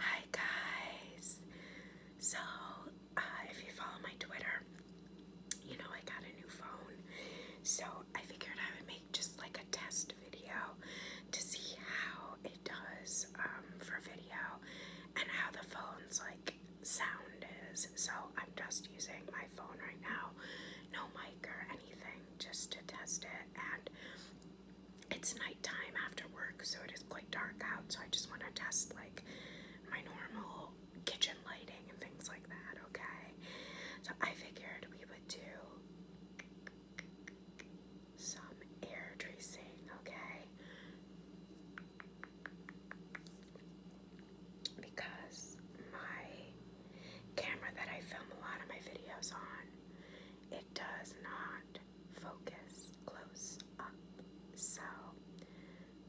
Hi guys! So, uh, if you follow my Twitter, you know I got a new phone. So, I figured I would make just like a test video to see how it does um, for video and how the phone's like sound is. So, I'm just using my phone right now, no mic or anything, just to test it. And it's nighttime after work, so it is quite dark out. So I just want to test like my normal kitchen lighting and things like that, okay? So I figured we would do some air tracing, okay? Because my camera that I film a lot of my videos on it does not focus close up, so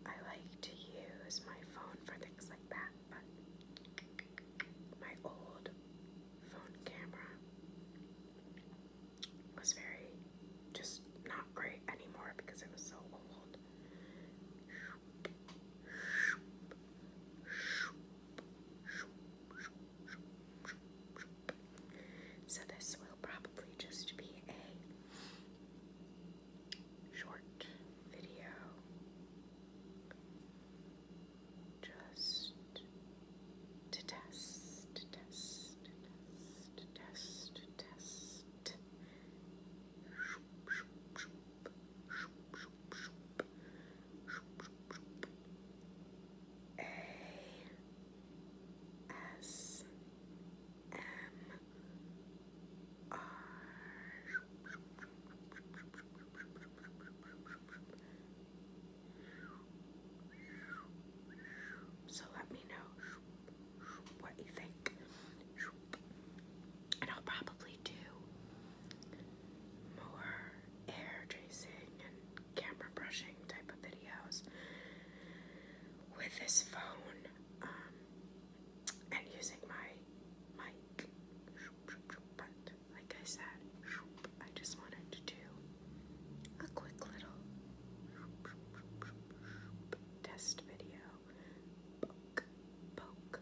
I like to use my phone for things like that, but my old phone camera was very just not great anymore because it was so old. So this will probably just be a short video. Just to test, to test, to test, to test, test shoop, shoop, shoop, shoop, shoop, A S M R so let me know what you think. And I'll probably do more hair tracing and camera brushing type of videos with this phone um, and using my mic. But like I said, I just wanted to do a quick little test video. Poke, poke,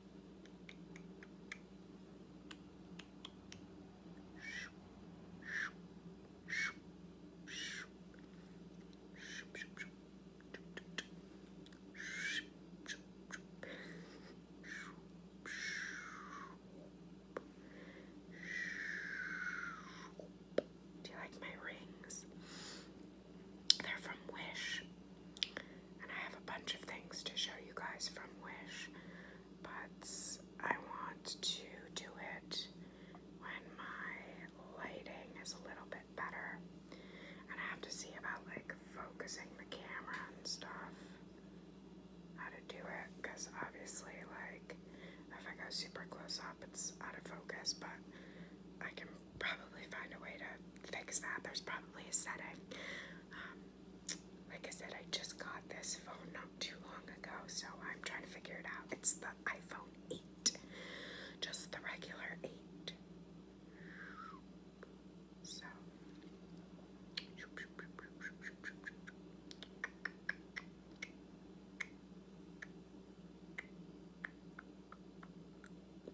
Do you like my rings? They're from Wish. And I have a bunch of things to show you guys from Wish. But I want to do it when my lighting is a little bit better. And I have to see about like focusing the camera and stuff. How to do it. Because obviously, like, if I go super close up, it's out of focus. But I can probably find a way to fix that. There's probably a setting. Um, like I said, I just got this phone not too long ago, so I'm trying to figure it out. It's the iPhone 8, just the regular 8. So,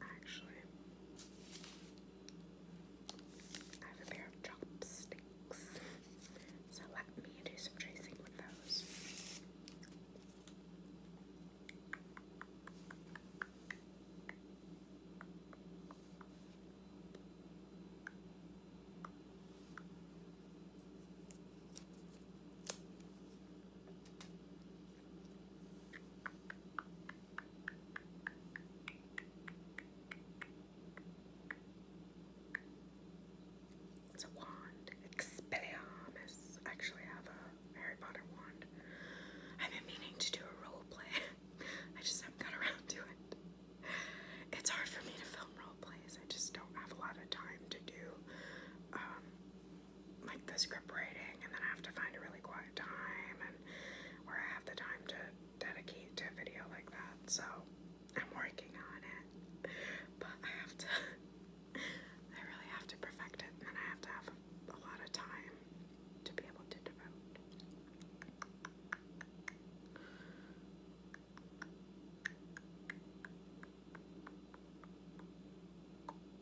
Actually, I have a pair of chopsticks, so let me do some tracing with those. It's a wand. Expelliarmus. I actually have a Harry Potter wand. I've been meaning to do a role play. I just haven't got around to it. It's hard for me to film role plays. I just don't have a lot of time to do um, like the script writing, and then I have to find a really quiet time and where I have the time to dedicate to a video like that. So I'm working on it, but I have to. I really have to perfect it, and I have to have a lot of time to be able to devote.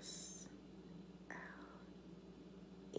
S L E